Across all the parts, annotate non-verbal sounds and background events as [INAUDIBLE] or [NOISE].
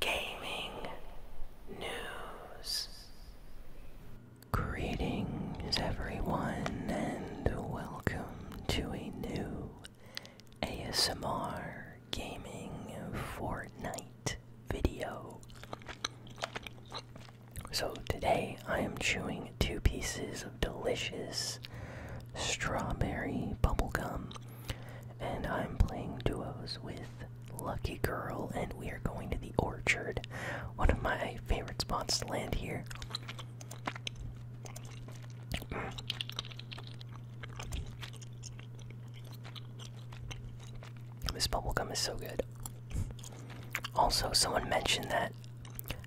gaming news. Greetings, everyone, and welcome to a new ASMR gaming Fortnite video. So, today I am chewing two pieces of delicious strawberry bubblegum. And I'm playing duos with Lucky Girl, and we are going to the orchard. One of my favorite spots to land here. This bubble gum is so good. Also, someone mentioned that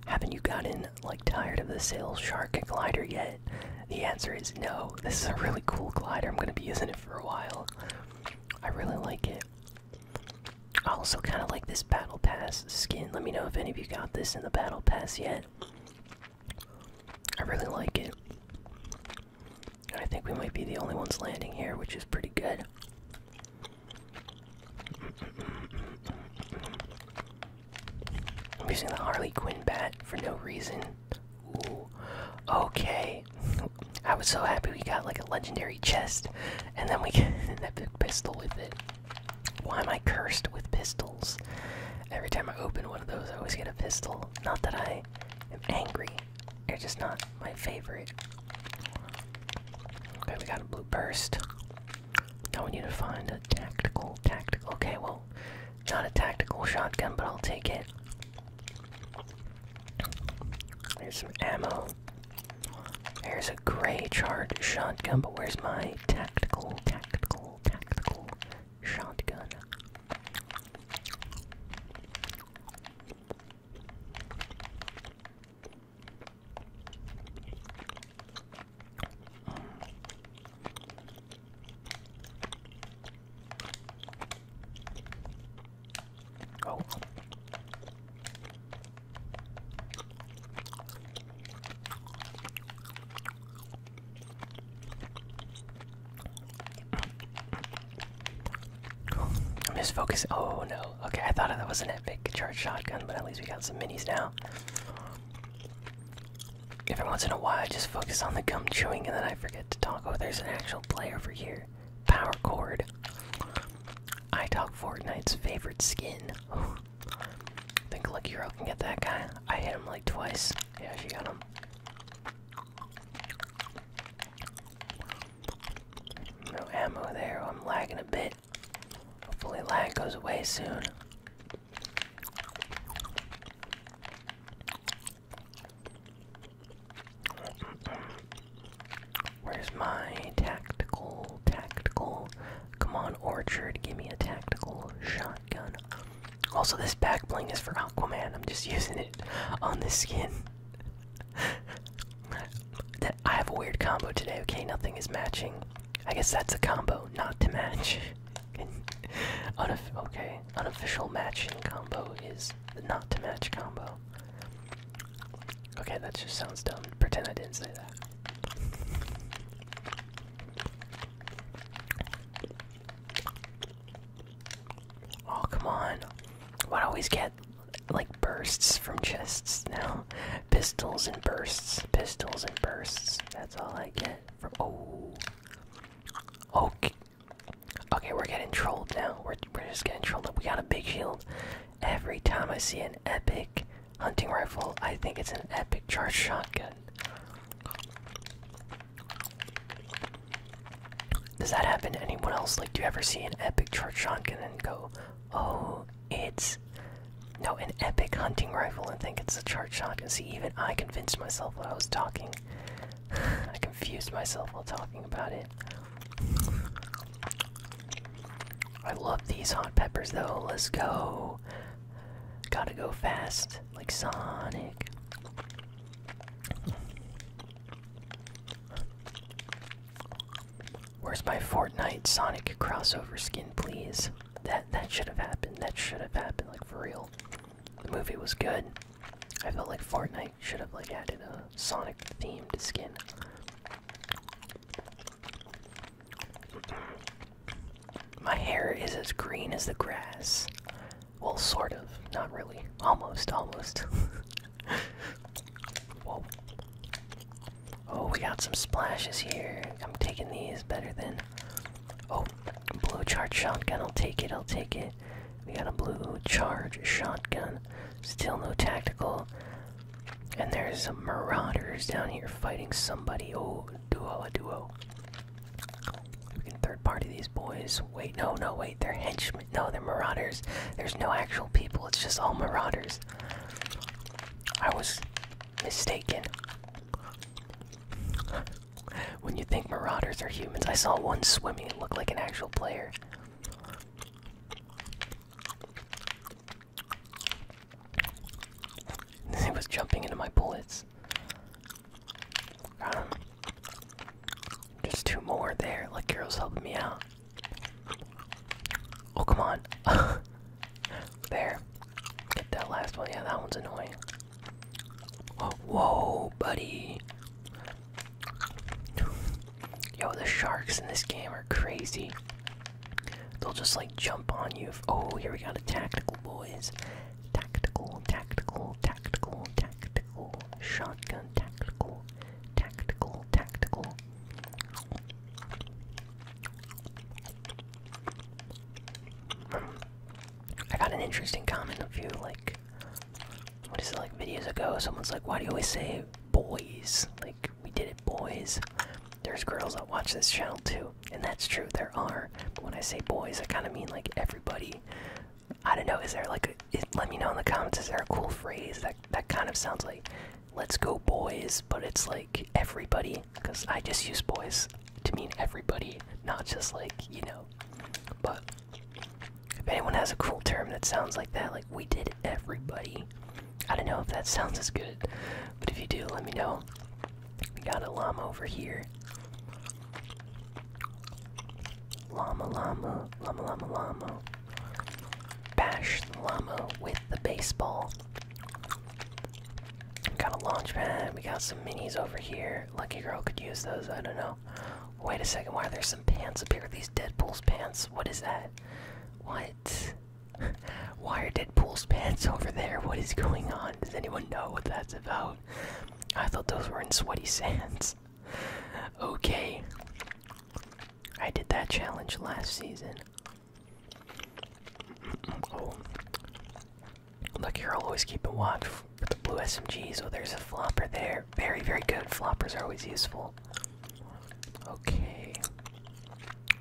haven't you gotten like tired of the sail shark and glider yet? The answer is no. This is a really cool glider. I'm gonna be using it for a while. I really like it. I also kind of like this battle pass skin. Let me know if any of you got this in the battle pass yet. I really like it. I think we might be the only ones landing here, which is pretty good. I'm using the Harley Quinn bat for no reason. Okay. I was so happy we got like a legendary chest, and then we get an epic pistol with it. Why am I cursed with pistols? Every time I open one of those, I always get a pistol. Not that I am angry, they're just not my favorite. Okay, we got a blue burst. Now we need to find a tactical, tactical. Okay, well, not a tactical shotgun, but I'll take it. There's some ammo. There's a gray charred shotgun, but where's my tactical, tactical, tactical shotgun? Oh. I'm just focusing. Oh no. Okay, I thought that was an epic charge shotgun, but at least we got some minis now. Every once in a while, just focus on the gum chewing and then I forget get to talk. Oh, there's an actual play over here. Power chord. I talk Fortnite's favorite skin. I [SIGHS] think Lucky Hero can get that guy. I hit him like twice. Yeah, she got him. No ammo there. I'm lagging a bit. Hopefully, lag goes away soon. Where's my tactical? Tactical. Come on, Orchard, give me a tactical shotgun. Also, this back bling is for Aquaman. I'm just [LAUGHS] using it on this skin. [LAUGHS] I have a weird combo today. Okay, nothing is matching. I guess that's a combo, not to match. [LAUGHS] okay, unofficial matching combo is not to match combo. Okay, that just sounds dumb. Pretend I didn't say that. Oh, come on. Why do I always get, like, bursts from chests now? [LAUGHS] Pistols and bursts. Pistols and bursts. That's all I get from. Oh. Okay. Okay, we're getting trolled now. We're, we're just getting trolled We got a big shield. Every time I see an epic hunting rifle, I think it's an epic charge shotgun. Does that happen to anyone else? Like, do you ever see an epic charge shotgun and go, oh, it's. No, an epic hunting rifle and think it's a charge shotgun. See, even I convinced myself what I was talking. [SIGHS] I confused myself while talking about it. I love these hot peppers though. Let's go. Gotta go fast, like Sonic. Where's my Fortnite Sonic crossover skin, please? That that should have happened. That should have happened, like for real. The movie was good. I felt like Fortnite should have like added a Sonic themed skin. My hair is as green as the grass. Well, sort of. Not really. Almost, almost. [LAUGHS] Whoa. Oh, we got some splashes here. I'm taking these better than. Oh, blue chart shotgun. I'll take it. I'll take it. We got a blue charge shotgun. Still no tactical. And there's some marauders down here fighting somebody. Oh, duo a duo. We can third party these boys. Wait, no, no, wait. They're henchmen. No, they're marauders. There's no actual people. It's just all marauders. I was mistaken. When you think marauders are humans, I saw one swimming and looked like an actual player. He [LAUGHS] was jumping into my bullets. Um, just two more there. Like Hero's helping me out. Oh come on. [LAUGHS] there. Get that last one. Yeah, that one's annoying. Whoa, whoa buddy. Yo, the sharks in this game are crazy. They'll just like jump on you. Oh, here we got a tactical, boys. Tactical, tactical, tactical, tactical. Shotgun, tactical, tactical, tactical. I got an interesting comment of you like what is it like videos ago? Someone's like, why do you always say boys? Like, we did it, boys. There's girls that watch this channel too, and that's true, there are. But when I say boys, I kind of mean like everybody. I don't know, is there like let me know in the comments, is there a cool phrase that, that kind of sounds like, let's go, boys, but it's like everybody? Because I just use boys to mean everybody, not just like, you know, but if anyone has a cool term that sounds like that, like we did everybody. I don't know if that sounds as good, but if you do, let me know. We got a llama over here. Llama, llama, llama, llama, llama. Bash the llama with the baseball. We Got a launch pad. We got some minis over here. Lucky girl could use those. I don't know. Wait a second, why are there some pants up here? These Deadpool's pants. What is that? What? [LAUGHS] why are Deadpool's pants over there? What is going on? Does anyone know what that's about? I thought those were in Sweaty Sands. [LAUGHS] okay. I did that challenge last season. [CLEARS THROAT] Oh. Look here, I'll always keep a watch the blue SMGs, oh, there's a flopper there. Very, very good. Floppers are always useful. Okay.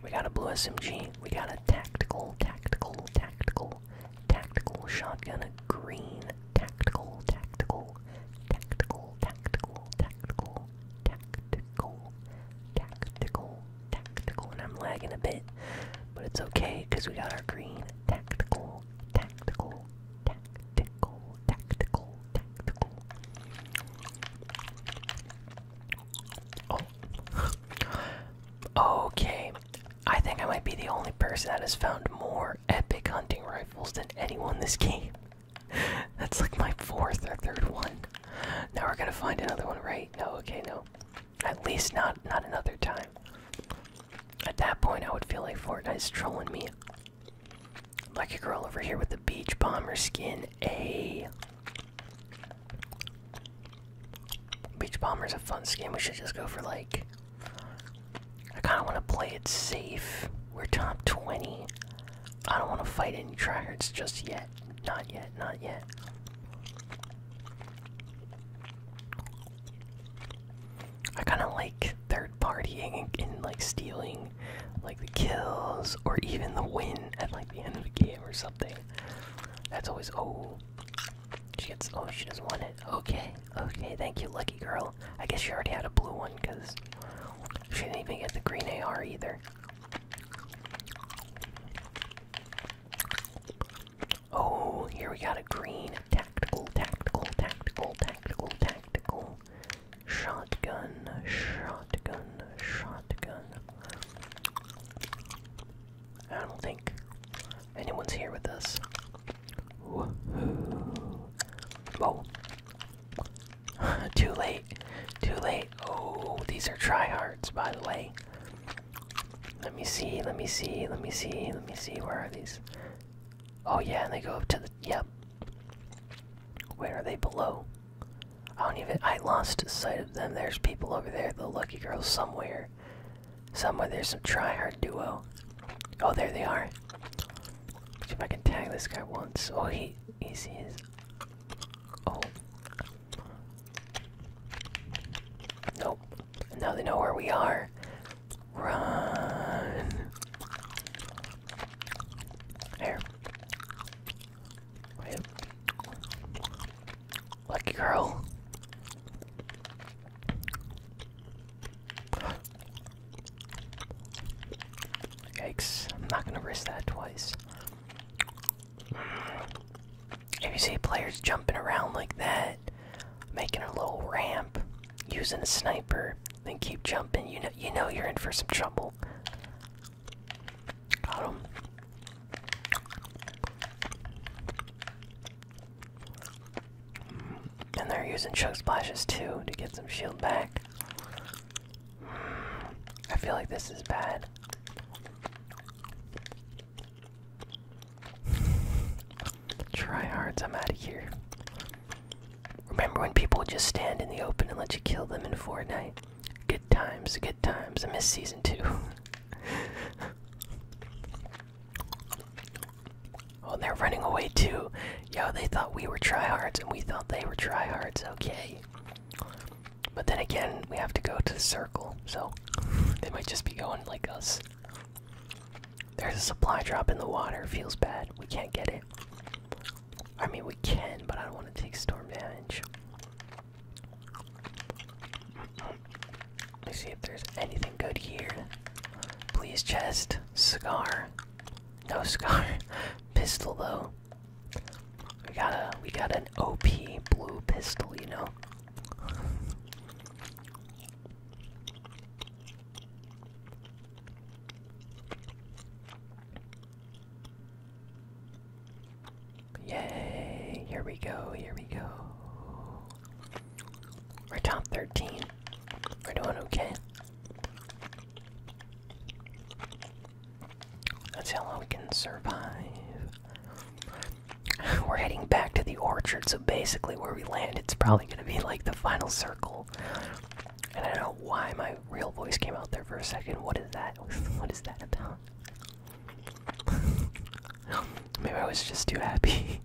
We got a blue SMG. We got a tactical, tactical, tactical, tactical shotgun. A green, tactical, tactical, tactical, tactical, tactical, tactical, tactical, tactical. And I'm lagging a bit, but it's okay because we got our green, tactical, tactical, Tactical, tactical, tactical. Oh. [LAUGHS] okay. I think I might be the only person that has found more epic hunting rifles than anyone this game. [LAUGHS] That's like my fourth or third one. Now we're gonna find another one, right? No, okay, no. At least not not another time. At that point, I would feel like Fortnite's trolling me. Like a girl over here with the beach bomber skin. A beach bomber's a fun skin. We should just go for like. I kind of want to play it safe. We're top 20. I don't want to fight any tryhards just yet. Not yet. Not yet. I kind of like third partying and, like stealing like the kills or even the win at like the end of the game or something. That's always oh she gets oh she just won it. Okay, okay, thank you, lucky girl. I guess you already had a blue one because she didn't even get the green AR either. Oh, here we got a green Tactical, tactical, tactical, tactical, tactical. Shotgun, shotgun, shotgun. I don't think anyone's here with us. Woohoo. Whoa. Oh. [LAUGHS] too late. Too late. Oh, these are tryhards, by the way. Let me see, let me see, let me see, let me see. Where are these? Oh yeah, and they go up to the yep. Where are they below? I don't even I lost sight of them. There's people over there, the lucky girl somewhere. Somewhere there's some tryhard duo. Oh there they are. see if I can tag this guy once. Oh he easy is Oh Nope. Now they know where we are. Run. Here. Lucky girl. Yikes, I'm not gonna risk that twice. If you see players jumping around like that, making a little ramp, using a sniper, then keep jumping. You know, you know you're in for some trouble. Got him. And they're using choke splashes too to get some shield back. I feel like this is bad. Tryhards, I'm out of here. Remember when people would just stand in the open and let you kill them in Fortnite? Good times, good times. I miss season two. [LAUGHS] oh, they're running away too. Yo, they thought we were tryhards and we thought they were tryhards. Okay. But then again, we have to go to the circle, so [LAUGHS] they might just be going like us. There's a supply drop in the water. Feels bad. We can't get it. I mean, we can, but I don't want to take storm damage. Let us see if there's anything good here. Please, chest. Cigar. No scar. [LAUGHS] pistol, though. We got a we got an OP blue pistol, you know. Yay, here we go, here we go. We're top 13. We're doing okay. That's how long we can survive. [LAUGHS] We're heading back to the orchard, so basically where we land, it's probably going to be like the final circle and I don't know why my real voice came out there for a second. What is that? [LAUGHS] what is that about? [LAUGHS] Maybe I was just too happy.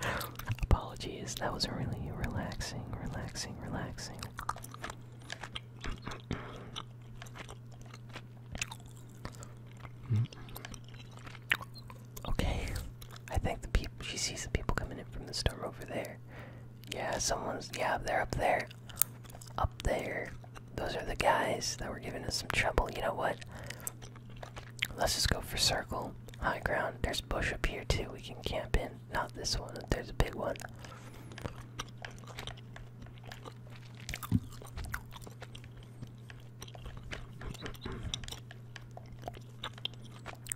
[LAUGHS] Apologies, that was really relaxing, relaxing, relaxing. Okay. I think the people. She sees the people coming in from the store over there. Yeah, someone's. Yeah, they're up there. Up there. Those are the guys that were giving us some trouble. You know what? Let's just go for circle. High ground. There's bush up here too. We can camp in. Not this one. There's a big one.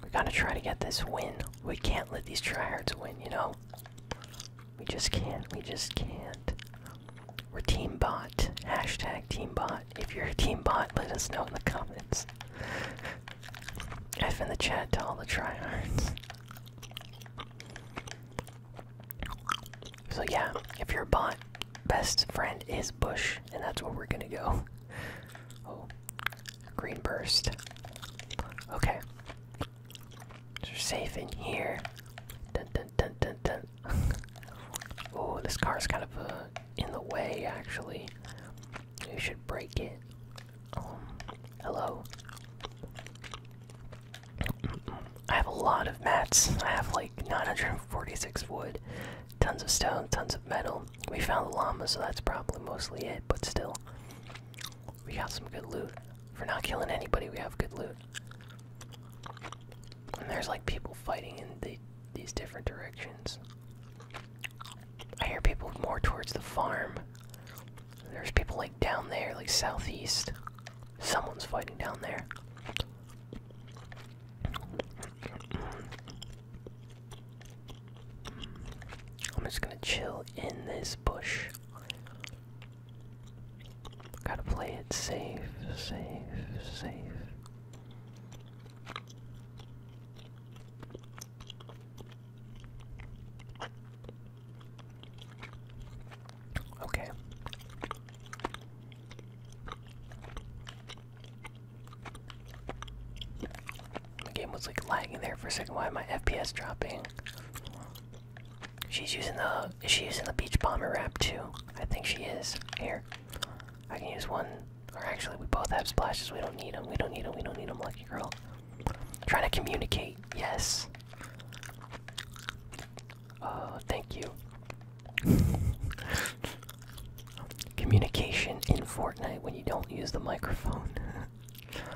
We gotta try to get this win. We can't let these tryhards win, you know? We just can't. We just can't. We're Team Bot. Hashtag Team Bot. If you're a Team Bot, let us know in the comments. F in the chat to all the tryhards. So yeah, if you're a bot, best friend is Bush, and that's where we're gonna go. Oh. Green burst. Okay. So we're safe in here. [LAUGHS] oh, this car's kind of uh, in the way, actually. We should break it. Um, hello. I have a lot of mats. I have like 946 wood. Tons of stone, tons of metal. We found the llama, so that's probably mostly it, but still. We got some good loot. For not killing anybody, we have good loot. And there's like people fighting in these different directions. I hear people more towards the farm. There's people like down there, like southeast. Someone's fighting down there. I'm just gonna chill in this bush. Gotta play it safe, safe, safe. Okay. The game was like lagging there for a second. Why am I FPS dropping? She's using the is she using the beach bomber wrap too? I think she is. Here, I can use one. Or actually, we both have splashes. We don't need them. We don't need them. We don't need them. Lucky girl. trying to communicate. Yes. Uh, thank you. [LAUGHS] communication in Fortnite when you don't use the microphone.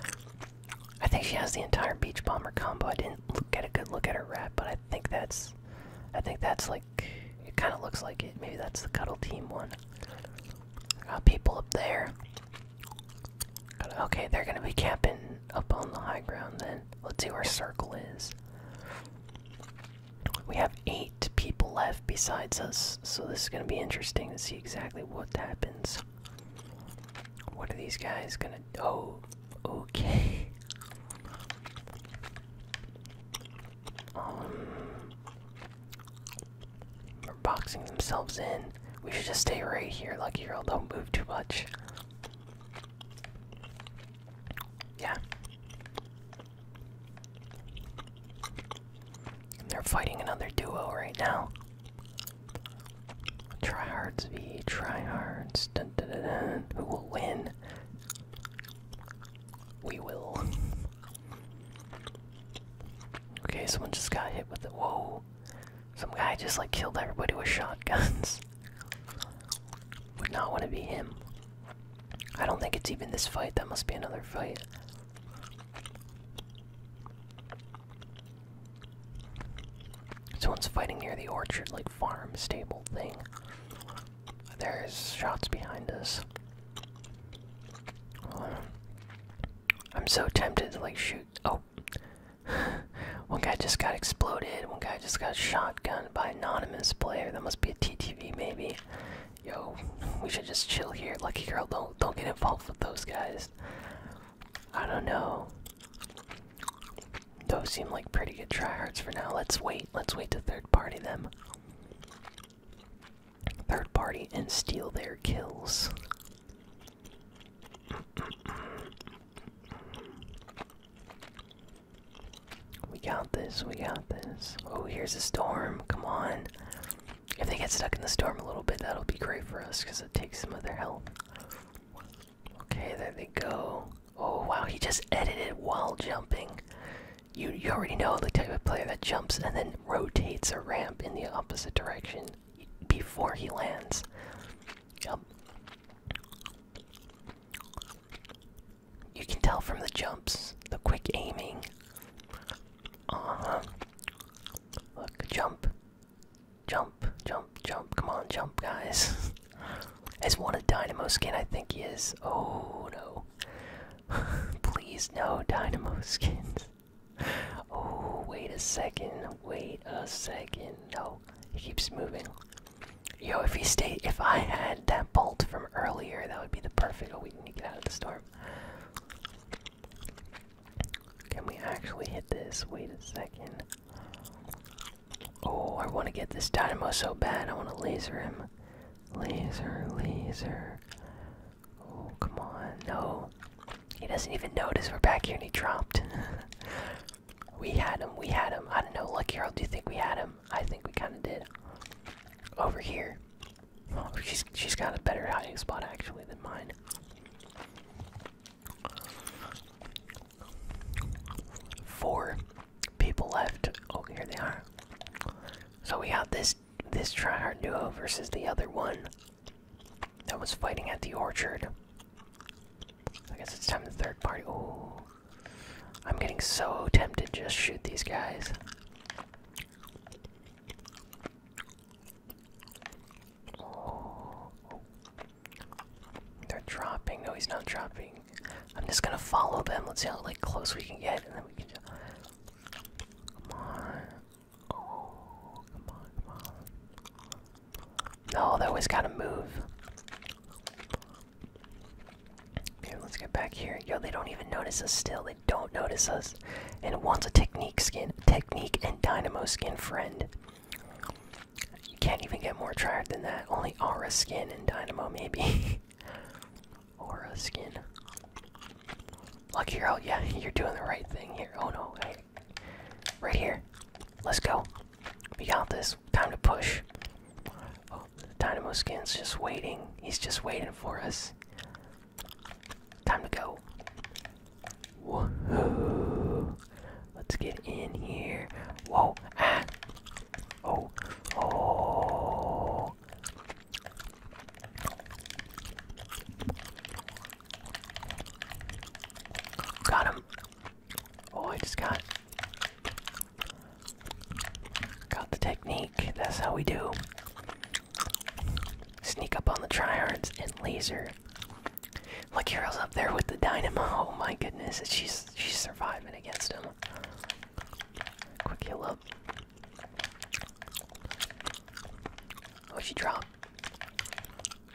[LAUGHS] I think she has the entire beach bomber combo. I didn't get a good look at her rap, but I think that's, I think that's like, it kind of looks like it. Maybe that's the cuddle team one. Got uh, people up there. okay, they're gonna be camping up on the high ground. Then let's see where circle is. We have eight people left besides us, so this is going to be interesting to see exactly what happens. What are these guys going to. Oh, okay. Um. They're boxing themselves in. We should just stay right here. Lucky girl, don't move too much. Yeah. They're fighting another duo right now. Tryhards v tryhards. Dun, dun, dun, Who will win? We will. okay, someone just got hit with it. Whoa. Some guy just like killed everybody with shotguns. [LAUGHS] Would not want to be him. I don't think it's even this fight. That must be another fight. Someone's fighting near the orchard, like farm stable thing. There's shots behind us. I'm so tempted to like shoot. Oh, [LAUGHS] one guy just got exploded. One guy just got shotgunned by anonymous player. That must be a TTV, maybe. Yo, we should just chill here. Lucky girl, don't don't get involved with those guys. I don't know. Those seem like pretty good tryhards for now. Let's wait. Let's wait to third party them. Third party and steal their kills. We got this, we got this. Oh, here's a storm. Come on. If they get stuck in the storm a little bit, that'll be great for us because it takes some of their health. Okay, there they go. Oh wow, he just edited while jumping. You you already know the type of player that jumps and then rotates a ramp in the opposite direction before he lands. Yep. You can tell from the jumps, the quick aiming. Uh huh. Look, jump. Jump, jump, jump. Come on, jump, guys. Is [LAUGHS] one a Dynamo skin? I think he is. Oh no. [LAUGHS] Please, no Dynamo skins. [LAUGHS] Oh, wait a second. Wait a second. No, he keeps moving. Yo, if he stay, if I had that bolt from earlier, that would be the perfect. Oh, we need to get out of the storm. Can we actually hit this? Wait a second. Oh, I want to get this Dynamo so bad. I want to laser him. Laser, laser. Oh, come on. No. He doesn't even notice we're back here and he dropped. [LAUGHS] we had him. We had him. I don't know. look, Earl, do you think we had him? I think we kind of did. Over here. Oh, she's she's got a better hiding spot actually than mine. Four people left. Oh, here they are. So we have this this tryhard duo versus the other one that was fighting at the orchard. I guess it's time the third party. Ooh. I'm getting so tempted to just shoot these guys. Oh. They're dropping. No, he's not dropping. I'm just gonna follow them. Let's see how like close we can get, and then we can just. Come on. Oh, come on, come on. No, they always gotta move. Here, let's get back here. Yo, they don't even notice us still. They don't notice us. And it wants a technique skin, technique and dynamo skin friend. You can't even get more tired than that. Only aura skin and dynamo, maybe. [LAUGHS] aura skin. Lucky Hero, oh, yeah, you're doing the right thing here. Oh no, hey. Right here. Let's go. We got this. Time to push. Oh, the Dynamo Skin's just waiting. He's just waiting for us. Time to go. Let's get in here. Whoa! Ah! Oh! Oh! Got him! Oh, I just got got the technique. That's how we do. Sneak up on the tryhards and laser. Look, Hero's up there with the dynamo. [LAUGHS] Oh my goodness, she's she's surviving against him. Quick heal up. Oh, she dropped.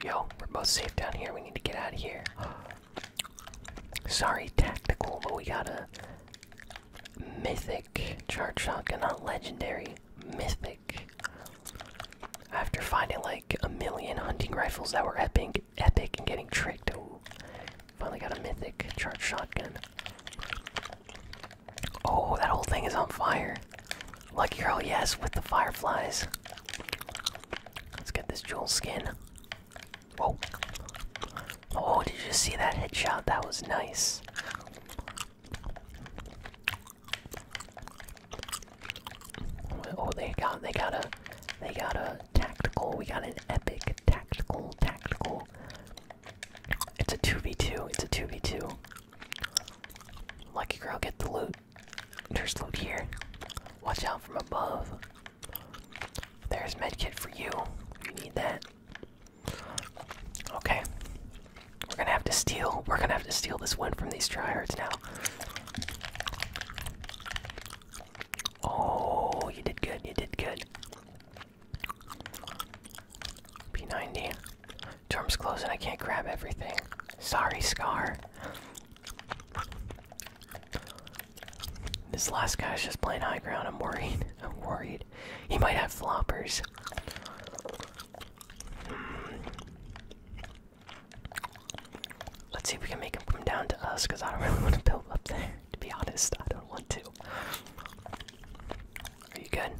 Yo, we're both safe down here. We need to get out of here. [GASPS] Sorry, tactical, but we gotta Mythic charge shotgun, not legendary. Mythic. After finding like a million hunting rifles that were epic, epic, and getting tricked, oh, finally got a mythic charge shotgun. Oh, that whole thing is on fire. Lucky girl, yes, with the fireflies. Let's get this jewel skin. Whoa. Oh, did you see that headshot? That was nice. Oh, they got, they got a, they got a tactical. We got an epic tactical, tactical. It's a two v two. It's a two v two. Lucky girl, get the loot. There's loot here. Watch out from above. There's medkit for you. You need that. Okay. We're gonna have to steal. We're gonna have to steal this win from these tryhards now. Oh, you did good. You did good. P90. Dorm's closing. I can't grab everything. Sorry, Scar. This last guy is just playing high ground. I'm worried. [LAUGHS] I'm worried. He might have floppers. Hmm. Let's see if we can make him come down to us, because I don't really want to build up there. To be honest, I don't want to. Are you good?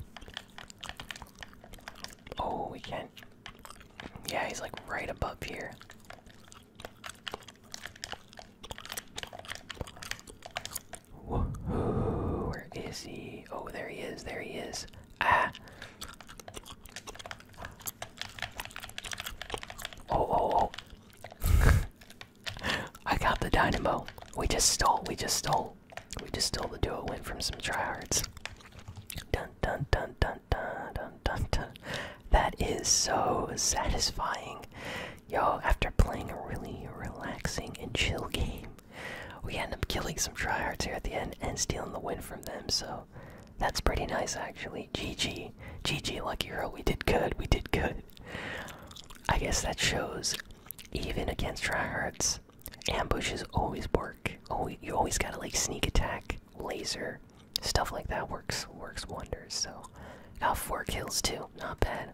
Oh, we can Yeah, he's like right above here where is he? Oh, there he is, there he is. Ah! Oh, oh, oh. [LAUGHS] I got the dynamo. We just stole, we just stole. We just stole the duo win from some tryhards. Dun dun dun dun dun dun dun dun. That is so satisfying. Yo, after playing a really relaxing and chill game, we end up killing some tryhards here at the end and stealing the win from them, so that's pretty nice actually. GG. GG, Lucky Hero. We did good. We did good. I guess that shows even against tryhards, ambushes always work. Always, oh, you always gotta like sneak attack, laser, stuff like that works works wonders. So, got four kills too. Not bad.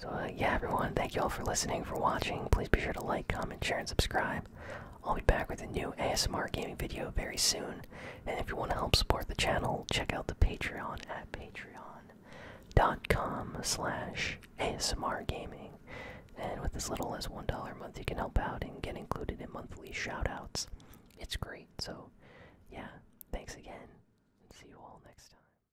So, uh, yeah, everyone, thank you all for listening, for watching. Please be sure to like, comment, share, and subscribe. I'll be back with a new ASMR gaming video very soon. And if you want to help support the channel, check out the Patreon at patreon.com slash ASMR gaming. And with as little as $1 a month, you can help out and get included in monthly shoutouts. It's great. So, yeah, thanks again. And see you all next time.